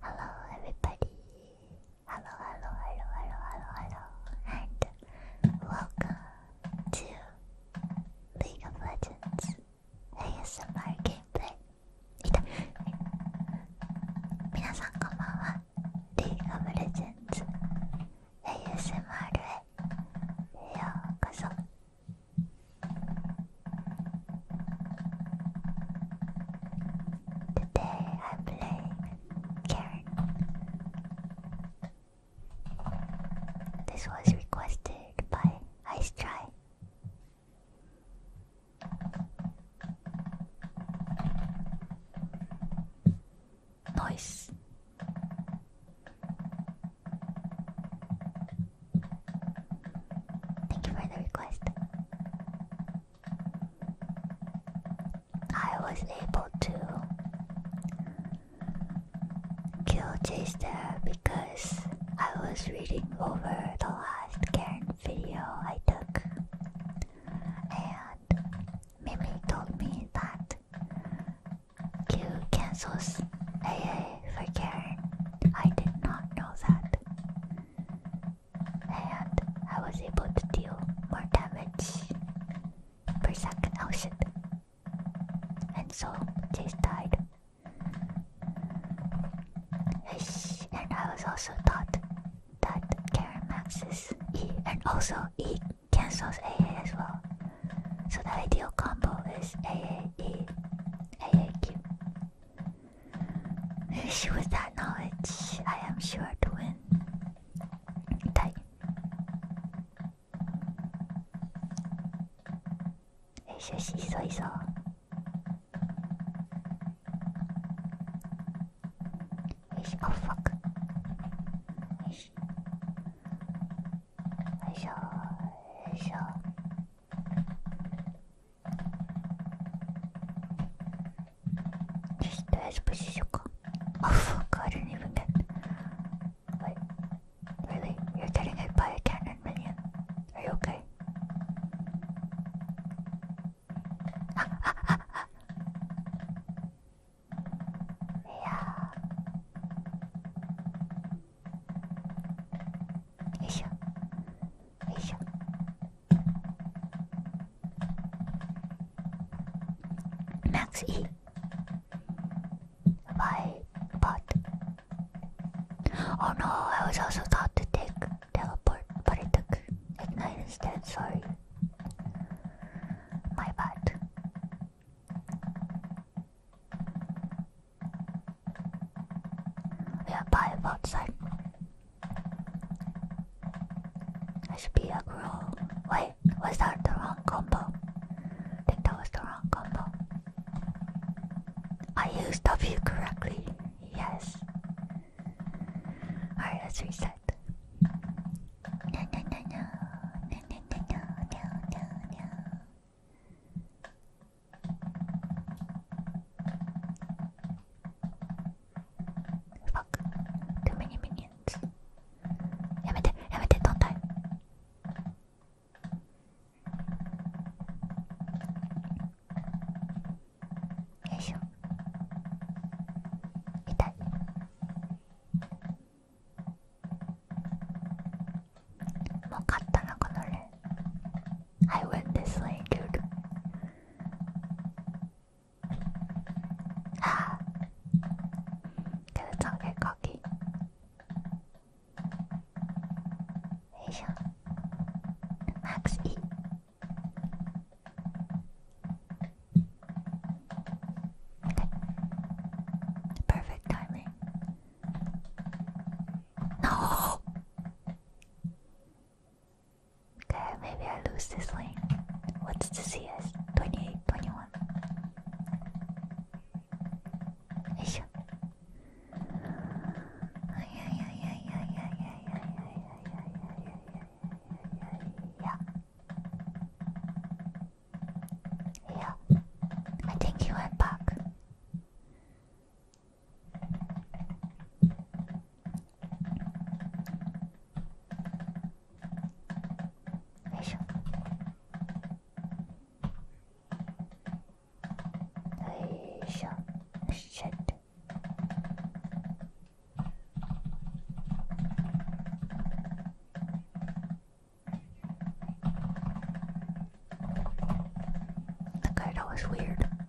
Hello, everybody. Hello, hello, hello, hello, hello, hello, and welcome to League of Legends ASMR gameplay. 皆さんこんばんは。League of Legends ASMR へようこそ。Today I play Karen. This was requested by Ice Try. Noise. Thank you for the request. I was able to kill Chase because I was reading over the last Karen video I took, and Mimi told me that Q cancels AA for Karen. I did not know that and I was able to deal more damage per second. Oh, and so Chase died. And I was also taught that Karen maxes E and also E cancels AA as well. So the ideal combo is AAE, AAQ. With that knowledge, I am sure to win. Die. It's just easy, so. Oh fuck. I shall. I shall. Здесь давай спустись око. Oh fuck, I didn't even get. Wait, really? You're getting hit by a cannon, minion? Are you okay? yeah. Hey, hey, Max E. Why bot? Oh no, I was also taught to take teleport, but I took ignite instead, sorry. My bad. Yeah, bye, outside. I should be a girl. Wait, was that the wrong combo? I think that was the wrong combo. I used W correctly. Yes. Alright, let's reset. No, no, no, no. No, no, no, no, no, Fuck. Too m a やめて、やめて、どんたい。よいしょ。痛い。もう勝ったな、この例。I went this way, dude. Ah, let's not get cocky. Max E. Okay. Perfect timing. No. Okay, maybe I lose this lane. What's the CS? 28, 21. Isha. Yeah. Yeah. I think he went back. よいしょよいしょよっしゃって That kind of was weird. Okay.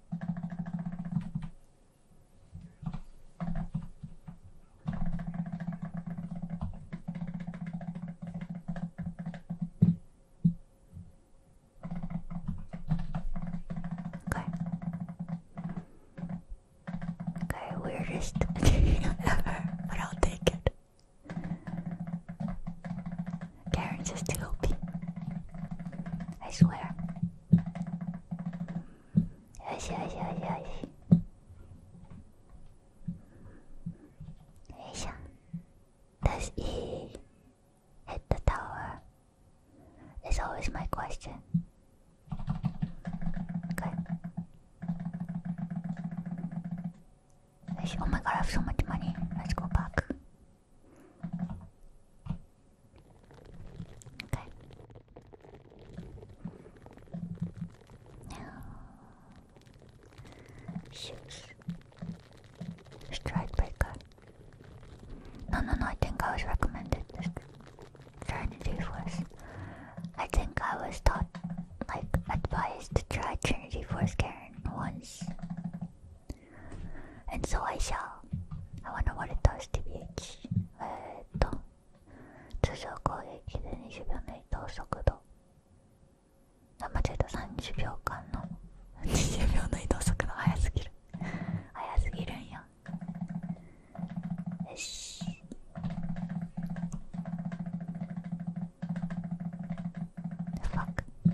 Okay, weirdest ever, but I'll take it. Karen's is too OP. I swear. よしよしよしよしよいしょ Does he hit the tower? Is always my question. Okay. Oh my god, I have so much money. Let's go back. Okay. Now, shoot. Strikebreaker. No, no, no, I think I was recommended Trinity Force. I think I was taught, like, advised to try Trinity Force Karen once. えっと、so I shall. I wanna what it えっと、通常攻撃で20秒の移動速度。あ、間違えた、30秒間の。20秒の移動速度速すぎる。速すぎるんや。よし。f u c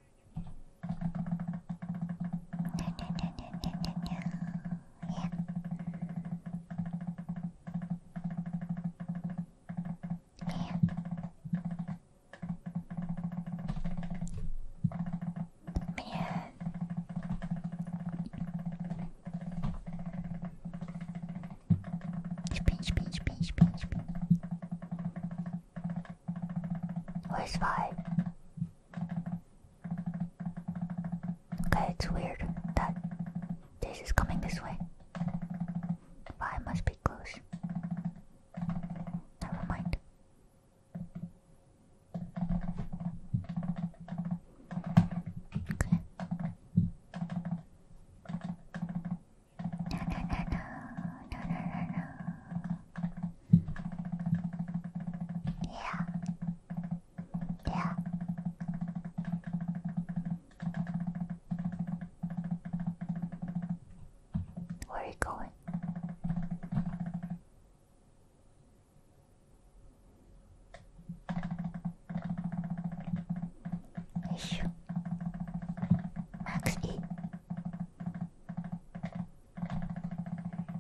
Yeah. Yeah. Yeah. Spin, spin, spin, spin, spin. Where's five? Okay, it's weird that this is coming this way. Five must be close. Never mind. Okay. No, no, no, no, no, no, no, yeah. Yeah. Where are you going? Issue. Max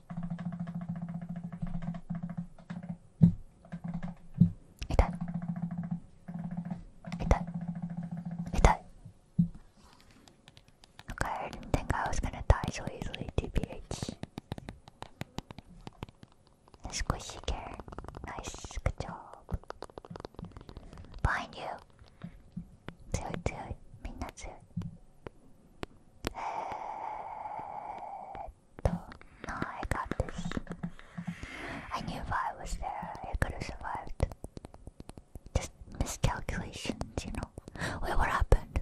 痛い痛い痛い Okay, I didn't think I was gonna die so easily, TBH. The squishy carrot. Nice, good job. Behind you. 強い強い。みんな強い。no, I got this. I knew if I was there, I could have survived. Just miscalculations, you know. Wait, what happened?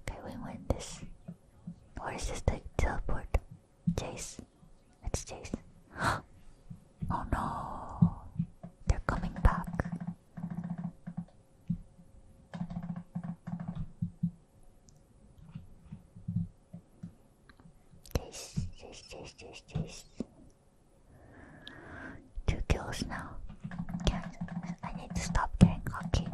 Okay, we win this. Or this the teleport? Jace. It's Jace. Oh no, they're coming back. This, this, this, this, this. Two kills now. Can't. I need to stop getting cocky.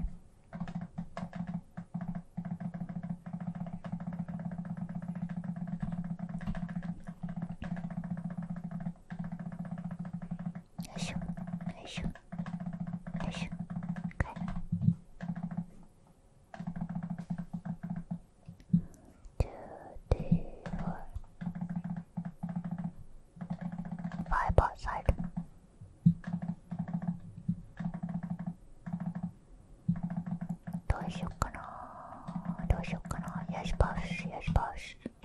いしょよいしょよいしょ5 by side どうしよっかなどうしよっかなよしパスよしパス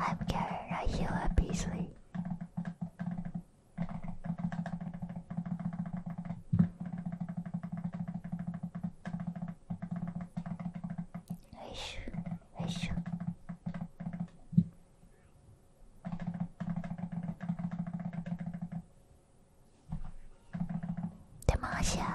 I'm Karen, I heal at Beasley. Hush, hush. Demacia.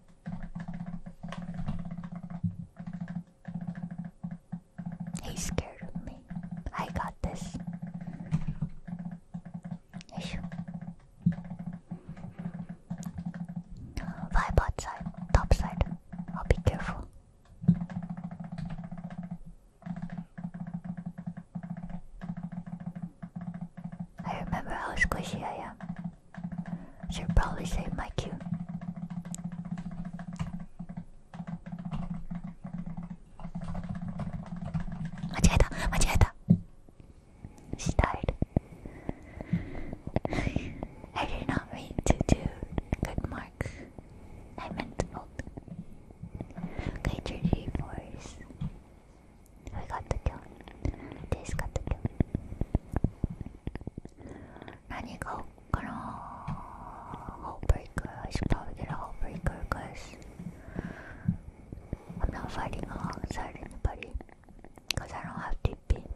He's scared of me. I got this. Vibe outside, top side. I'll be careful. I remember how squishy I am. Should probably save my cue. Macheta, macheta. She I did not mean to do good marks. I meant to hold. Okay, Force. We got the kill. This got the kill. I need go Heartbreaker. I should probably get a heartbreaker because I'm not fighting alongside anybody. Because I don't have TP.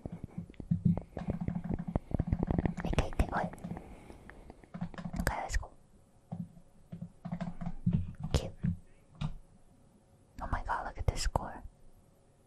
Okay, okay, wait. Okay, let's go. Cute. Oh my god, look at this score.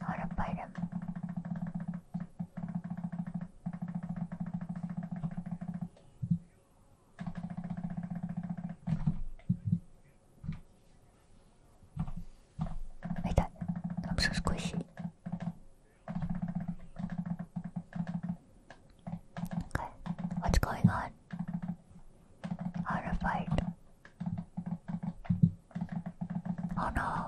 How to fight him. I'm so squishy. Okay, what's going on? How Oh no.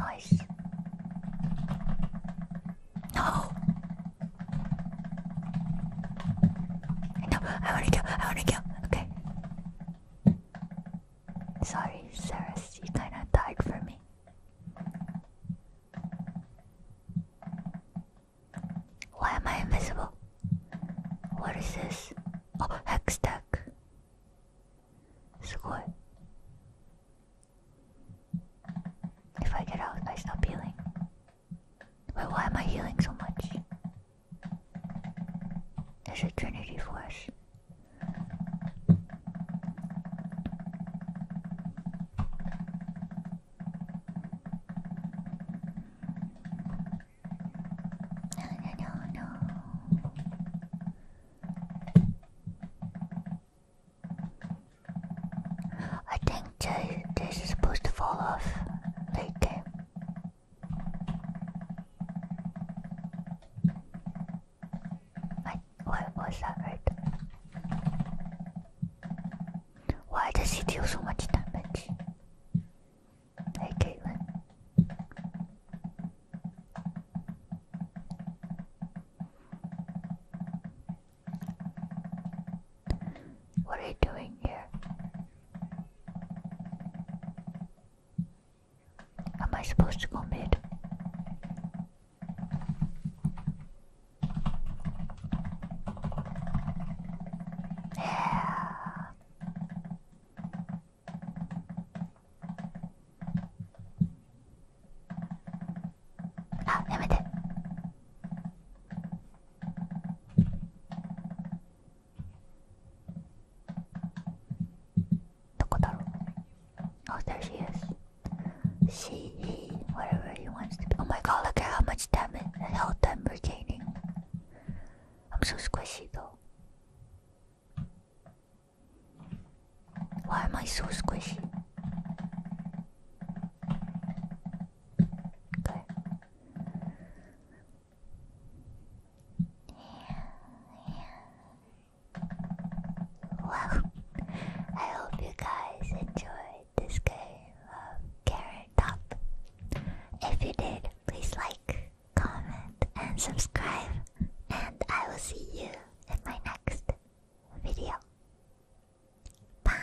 Nice. No. No, I wanna kill, I wanna kill. Okay. Sorry, Sarah, you kinda died for me. Why am I invisible? What is this? Oh, hex deck. すごい。If I get out, I stop healing. Wait, why am I healing so much? There's a Trinity Force. No, no, no, I think this is supposed to fall off late what was that right? Why does he deal so much damage? Hey, Caitlin. What are you doing here? Am I supposed to go あやめてどこだろうあ、oh, there she is she, whatever he wants Oh my god, look at how much damage health I'm regaining. I'm so squishy though. Why am I so squishy? Okay. Well, I hope you guys enjoy this game um, of Carrot Top. If you did, please like, comment, and subscribe. And I will see you in my next video. Bye!